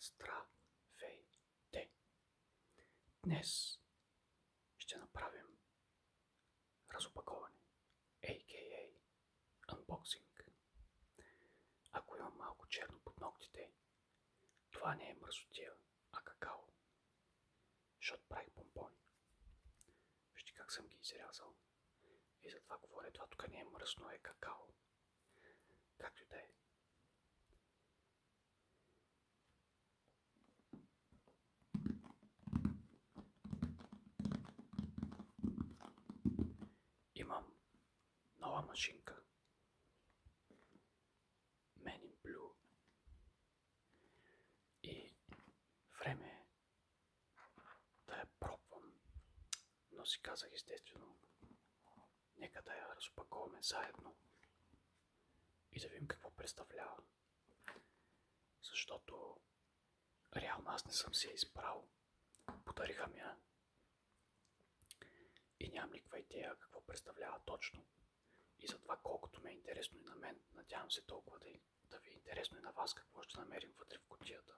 Здравейте! Днес ще направим разопаковане, a.k.a. unboxing. Ако имам малко черно под ногтите, това не е мръсотия, а какао. Защото правих помпони. Вижте как съм ги изрязал. И затова говоря, това тук не е мръсно, е какао. Както и да е. Имам нова машинка. Man in И време е да я пробвам. Но си казах естествено, нека да я разпаковаме заедно и да видим какво представлява. Защото реално аз не съм се избрал. Подариха ми я и нямам никаква идея какво представлява точно. И затова колкото ми е интересно и на мен, надявам се толкова да, да ви е интересно и на вас какво ще намерим вътре в кутията.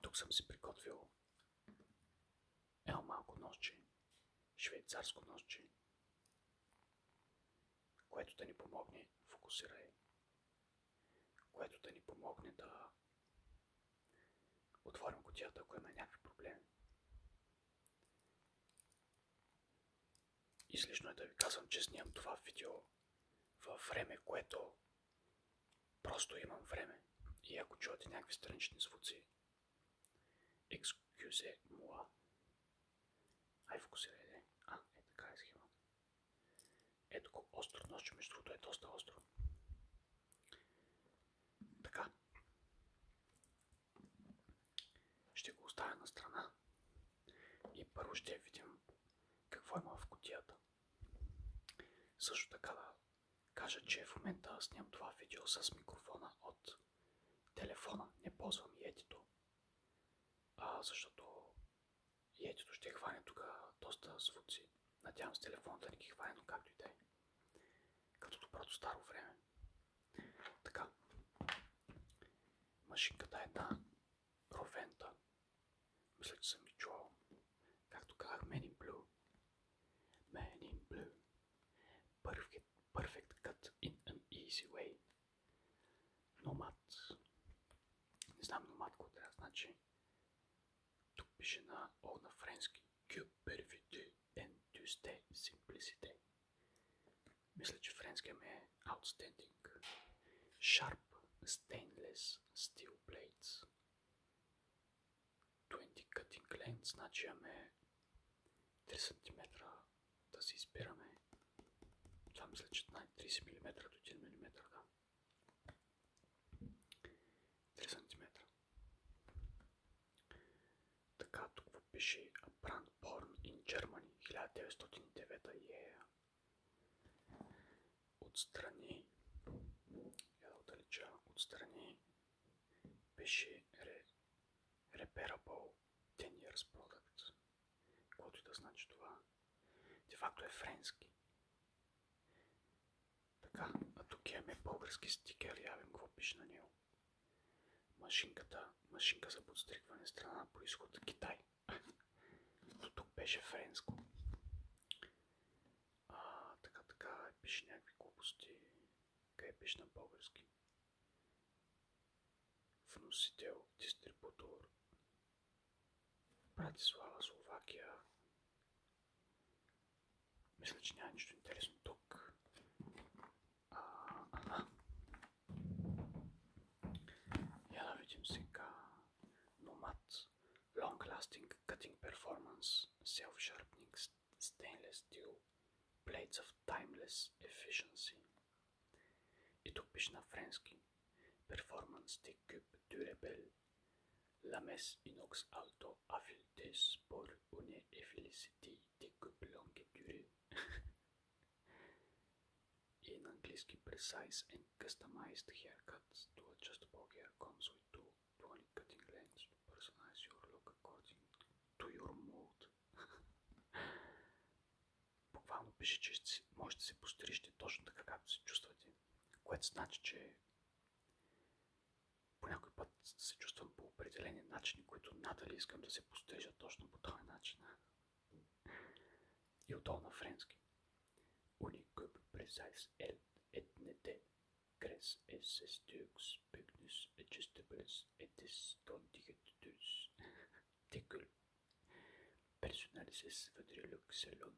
Тук съм си приготвил едно малко нощче, швейцарско ножче, което да ни помогне, фокусирай, което да ни помогне да Отворим котията, ако има някакви проблеми. Излишно е да ви казвам, че снимам това видео във време, което просто имам време. И ако чуете някакви странични звуци, Екскюзе, moi. Ай, фокусирай, А, е така е схема. Ето колко остро нощ, между другото е доста остро. Така. Ще го оставя на страна и първо ще видим какво има в котията. Също така да кажа, че в момента снимам това видео с микрофона от телефона. Не ползвам етито, а защото етито ще хване тук доста звуци. Надявам с да не ги хване, но както и да е. Като доброто старо време. Така. Машинката е една. Ровента. Мисля, че съм и чувал. Както казах, Men in Blue. Men in Blue. Perfect, perfect cut in an easy way. Номад. Не знам номад какво трябва значи. Тук пише на, о, на френски. Que perfide en tuste simplicité. Мисля, че Френски ми е outstanding. Sharp stainless steel Blades. 20 cutting length, значи имаме 3 см да си избираме. Това мисля, че най 30 мм до 1 мм, 3 см. Така, тук пише A Brand Born in 1909 yeah. Отстрани, я отдалеча, отстрани пише re, Repairable 10 years product. Каквото и да значи това. Де факто е френски. Така, а тук имаме български стикер, я вим какво пише на него. Машинката, машинка за подстригване, страна на происход Китай. До тук беше френско. А, така, така, пише някакви глупости. Къде пише на български? Вносител, дистрибутор, Братислава, Словакия. Мисля, че няма нищо интересно тук. Я да видим сега. Nomad Long Lasting Cutting Performance Self Sharpening Stainless Steel Plates of Timeless Efficiency. И тук пише на френски. Performance des cubes Durabel. La messe inox alto affûtée pour une efficacité des cubes longue durée. In angliski precise and customized haircuts to adjustable hair comes with two 20 cutting lengths to personalize your look according to your mood. Буквално пише, че можете да се пострижете точно така, както се чувствате. Което значи, че по някой път се чувствам по определени начини, които надали искам да се постижат точно по този начин. И отдолу на френски. Unikøb precise el etnete Крес es esteux pygnus adjustables etis dondigetus. Tekül. Personalises vedrilux salon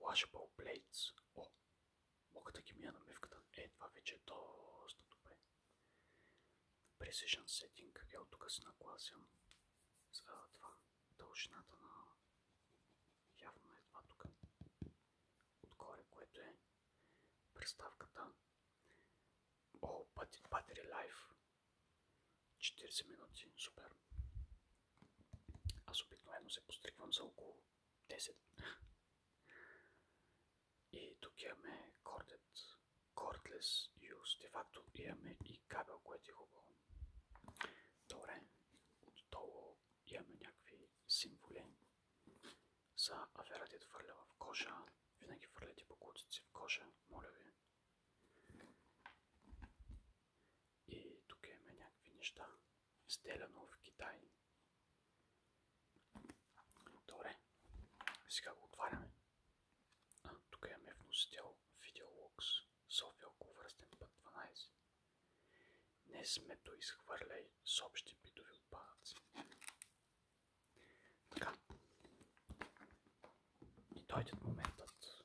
Washable Blades. О, мога да ги мия на мивката. Е, това вече е доста добре. Precision Setting. от тук се нагласям за това. Дължината на... Явно е това тук. Отгоре, което е представката. О, Battery Life. 40 минути. Супер. Аз обикновено се постригвам за около 10. И тук имаме кордет, кордлес юз. Де факто имаме и кабел, което е хубаво. Добре. Отдолу имаме някакви символи за аферата да хвърля в кожа. Винаги по бокуците в кожа, моля ви. И тук има някакви неща. Изделяно в Китай. Добре. Сега го отваряме. А, тук имаме вносител Видеолокс. София около околовръстен път 12. Не смето изхвърляй с общи битови отпадъци. Така. И дойде моментът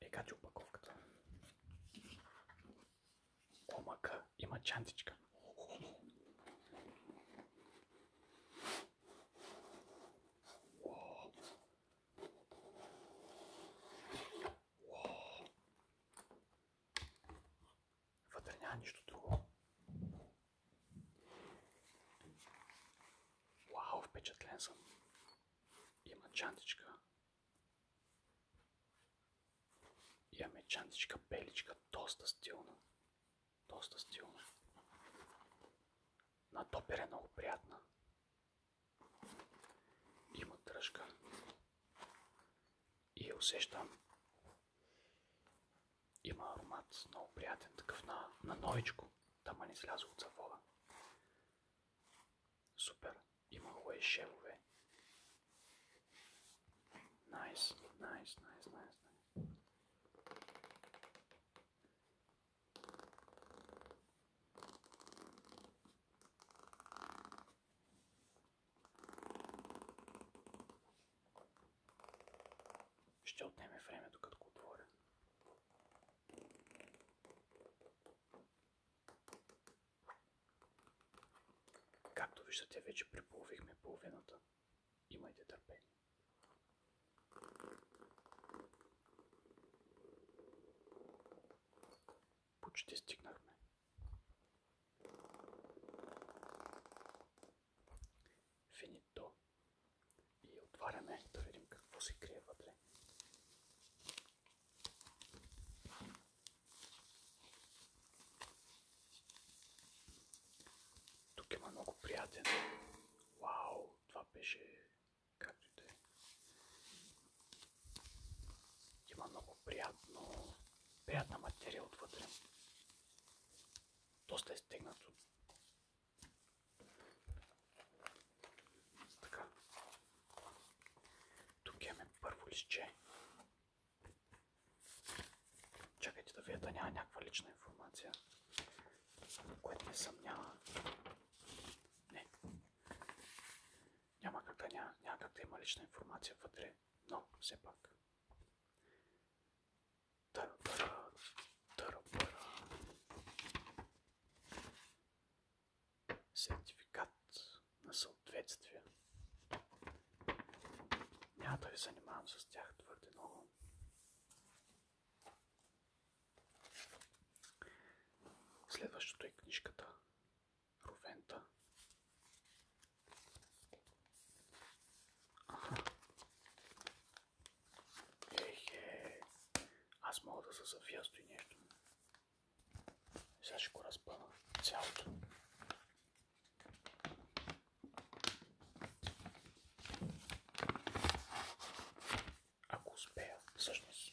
Е, качи опаковката. Омака има чантичка. нищо друго. Вау, впечатлен съм. Има чантичка. Имаме чантичка, беличка, доста стилна. Доста стилна. На топер е много приятна. Има дръжка. И я усещам има аромат, много приятен такъв на, на новичко. Тама не сляза от завода. Супер. Има лайшевове. Найс, найс, найс, найс, найс. Ще отнеме време, докато го Както виждате, вече преполовихме половината. Имайте търпение. Почти стигнахме. Финито. И отваряме да видим какво се крие вътре. Тук има много приятен. Вау, това беше както е. Има много приятно, приятна материя отвътре доста е стегнато. Така. Тук имаме първо листче. Чакайте да видя да няма някаква лична информация, което не съмнява. Не. Няма как да, няма, няма как има лична информация вътре, но все пак. Сертификат на съответствие. Няма да ви занимавам с тях твърде много. Следващото е книжката Ровента. Аха. Ехе. Аз мога да се завия с нещо. Сега ще го разпъна цялото. Ако успея, всъщност.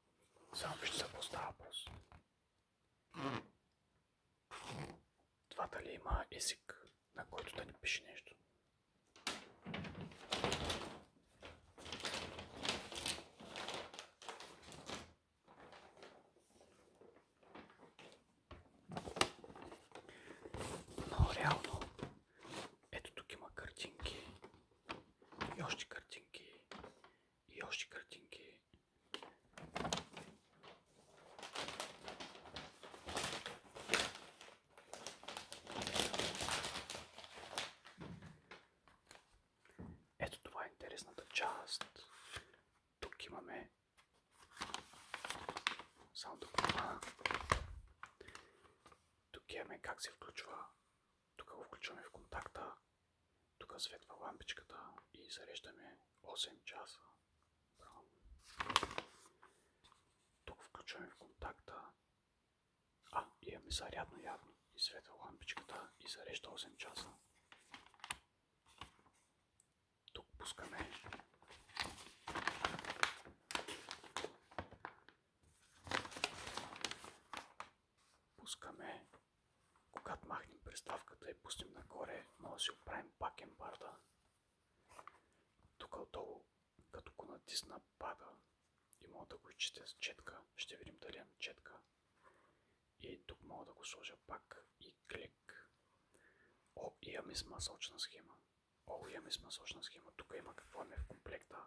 Само вижте за какво въпрос. Това дали има език, на който да ни пише нещо. Ето тук има картинки. И още картинки. И още картинки. Ето това е интересната част. Тук имаме само да Тук имаме как се включва тук го включваме в контакта. Тук светва лампичката и зареждаме 8 часа. Тук включваме в контакта. А, имаме зарядно явно. И светва лампичката и зарежда 8 часа. Тук пускаме Пускаме. Когато махнем приставката и пуснем нагоре, може да си оправим пак ембарда. Тук отдолу, като го натисна, пада и мога да го изчетя с четка. Ще видим дали е на четка. И тук мога да го сложа пак и клик. О, имаме с схема. О, имаме с схема. Тук има какво е в комплекта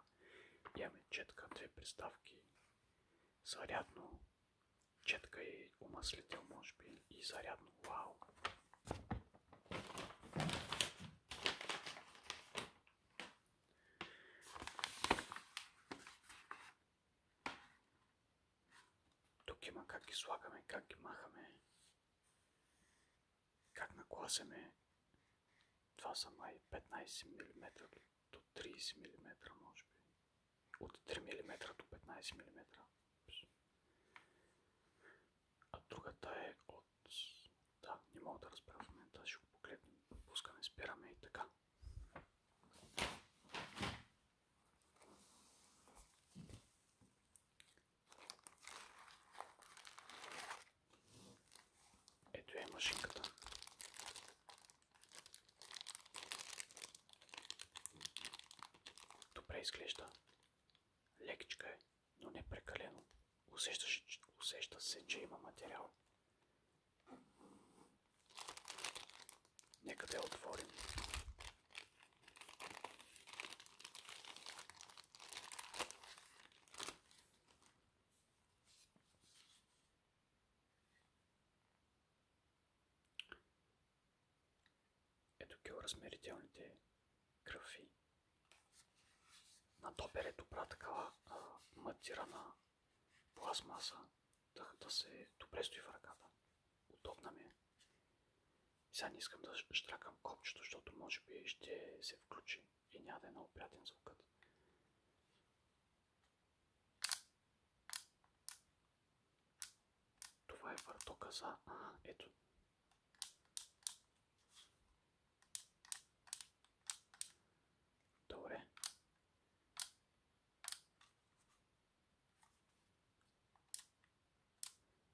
имаме четка, две приставки, зарядно, четка и е умаслител може би и зарядно, вау! Тук има как ги слагаме, как ги махаме. Как нагласяме? Това са май 15 мм до 30 мм, може би. От 3 мм до 15 мм. А другата е от... Да, не мога да разбера в момента, ще го погледнем. Пускаме, спираме и така. Ето е машинката. Добре изглежда. Лекичка е, но не прекалено. Усеща, се, че има материал. Нека да я отворим. Ето размерителните графи. На топер е добра такава матирана пластмаса, да се добре стои в ръката. Удобна ми е. Сега не искам да штракам копчето, защото може би ще се включи и няма да е много приятен звукът. Това е въртока за... Ага, ето.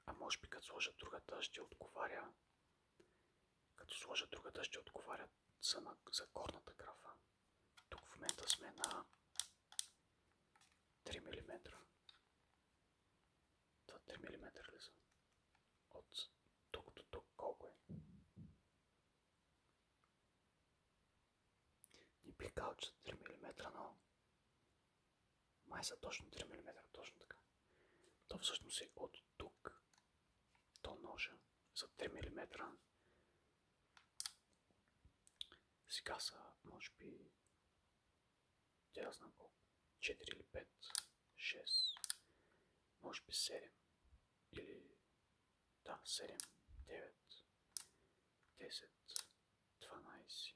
А може би като сложа другата ще отговаря като сложа другата ще отговаря за, на, за горната графа. Тук в момента сме на 3 мм. Това 3 мм ли са? От тук до тук колко е? Не бих казал, че 3 мм, но май са точно 3 мм, точно така. То всъщност е от тук то ножа за 3 мм. Сега са, може би, тя знам колко, 4 или 5, 6, може би 7 или да, 7, 9, 10, 12.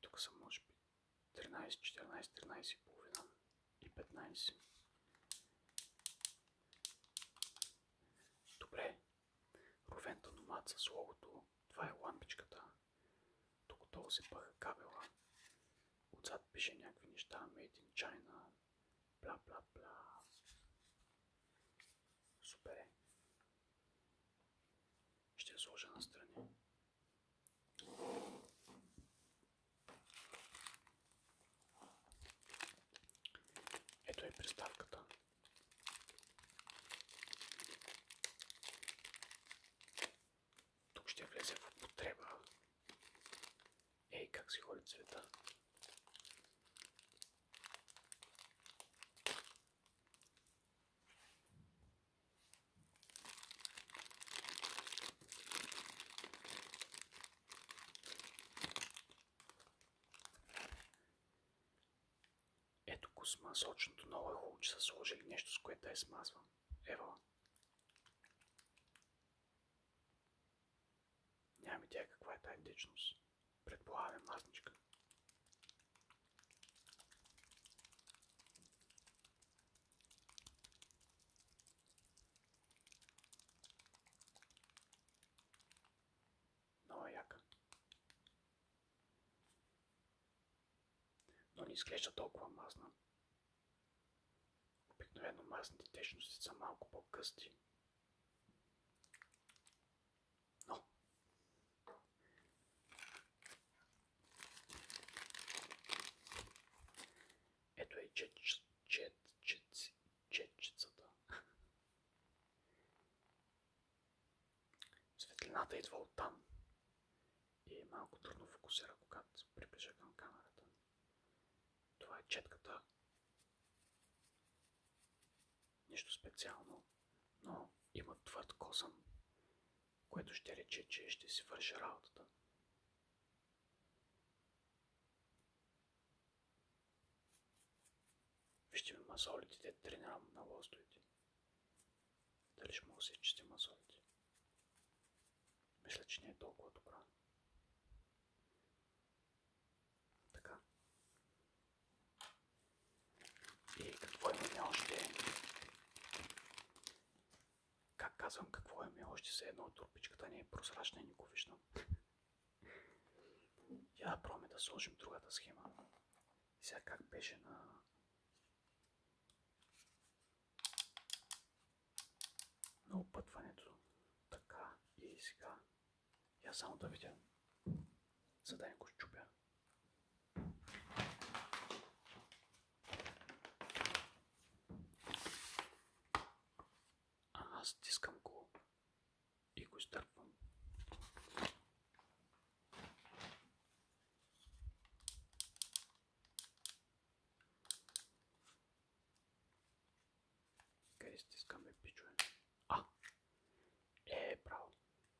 Тук са може би 13, 14, 13 и половина и 15. Добре. Ровента номад с логото. Това е лампичката. Тук долу се пъха кабела. Отзад пише някакви неща. Made in China. Бла, бла, бла. Супер е. Ще я сложа настрани. Ето е приставката. Тук ще влезе в употреба. Ей, как си ходи цвета. Ето го сма Много е хубаво, че са сложили нещо, с което да я смазвам. Ева. Няма тя каква е тази дичност. Предполагам мазничка. Много е яка. Но не изглежда толкова мазна. Обикновено масните течности са малко по-късти. Но ето е чет, четчицата. Светлината идва от там и е малко трудно фокусира, когато се приближа към камерата. Това е четката. Нищо специално, но има твърд косъм което ще рече, че ще си върши работата. Вижте ми мазолите, те тренирам на лостовете. Дали ще мога да се чисти мазолите? Мисля, че не е толкова добра. Така. И е, какво е имаме още? Как казвам, какво е имаме още? Все едно от турбичката ни е прозрачна и никого виждам. Я да пробваме да сложим другата схема. И сега как беше на... на опътването. Така и сега. Я само да видя, за да не го щупя. Аз стискам го и го изтърпвам. Къде стискаме пичове? А! Е, право.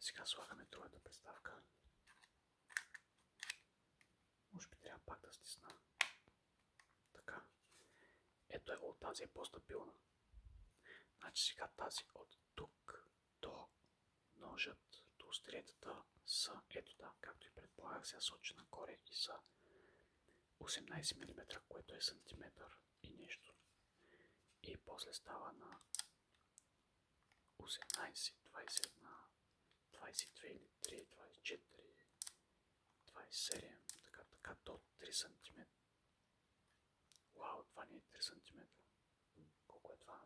Сега слагаме другата приставка. Може би трябва пак да стисна. Така. Ето е от тази е по-стабилна. Значи сега тази от тук до ножът, до остриетата са, ето там, както и предполагах, сега сочи нагоре и са 18 мм, което е сантиметър и нещо. И после става на 18, 20 22 или 3, 24, 27, така, така до 3 см. Вау, това не 3 см. Колко е това?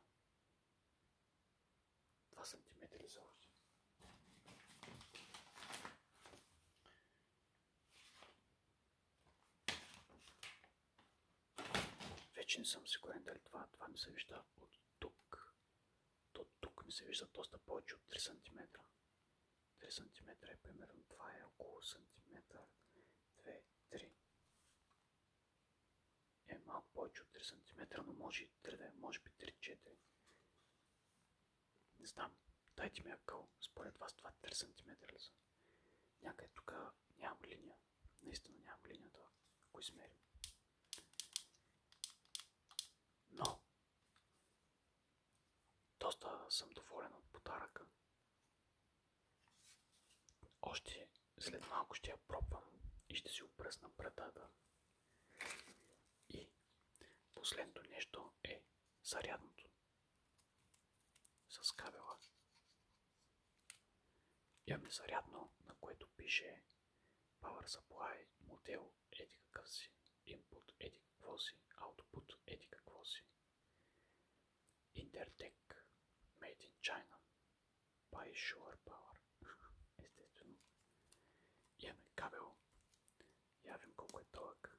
2 см вече не съм сигурен дали това, това ми се вижда от тук. До тук ми се вижда доста повече от 3 см. 3 см е примерно, това е около сантиметър. 2, 3. Е, повече от 3 см, но може и 3 е, може би не знам. Дайте ми акъл. Според вас това 3 см ли са? Някъде тук нямам линия. Наистина нямам линията, ако измерим. Но, доста съм доволен от подаръка. Още след малко ще я пробвам и ще си опръсна брадата. И последното нещо е зарядното с кабела. Имаме зарядно, на което пише Power Supply, модел, еди какъв си, Input, еди какво си, Output, еди какво си. Intertech, Made in China, by Sure Power. Естествено. Имаме кабел. Явим колко е дълъг.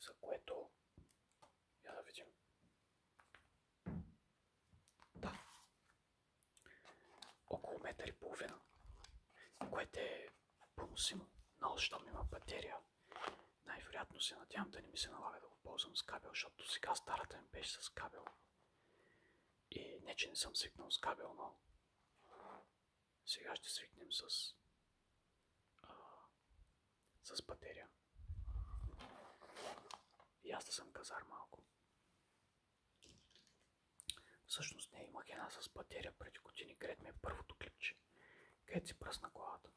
за което я да видим. Да. Около метър и половина, което е поносимо, но щом има батерия, най-вероятно се надявам да не ми се налага да го ползвам с кабел, защото сега старата ми беше с кабел. И не, че не съм свикнал с кабел, но сега ще свикнем с, а, с батерия. И аз да съм казар малко. Всъщност не имах една с батерия преди години, гред ми е първото клипче. Където си пръсна колата.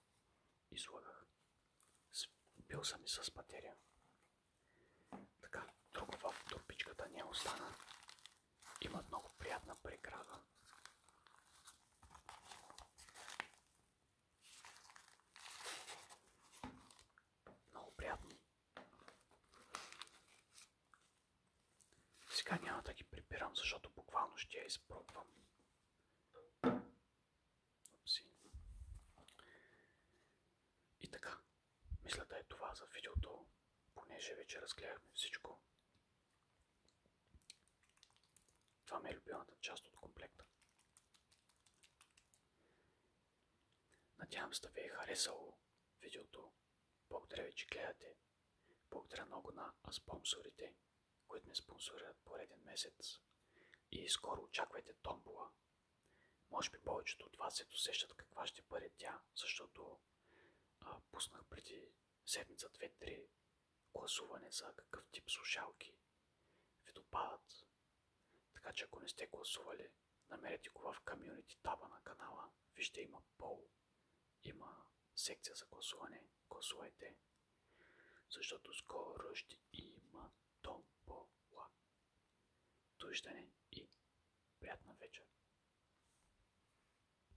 Излагах. Бил съм и с батерия. Така, друго в турбичката не остана. Има много приятна преграда. Много приятно. Сега няма да ги прибирам, защото буквално ще я изпробвам. И така, мисля да е това за видеото, понеже вече разгледахме всичко. Това ми е любимата част от комплекта. Надявам се да ви е харесало видеото. Благодаря ви, че гледате. Благодаря много на спонсорите, които ме спонсорират пореден месец. И скоро очаквайте томбола. Може би повечето от вас се досещат каква ще бъде тя, защото пуснах преди седмица, две-три гласуване за какъв тип слушалки ви допадат. Така че ако не сте гласували, намерете го в комьюнити таба на канала. Вижте има пол, има секция за гласуване. Гласувайте, защото скоро ще има томбола. Довиждане и приятна вечер!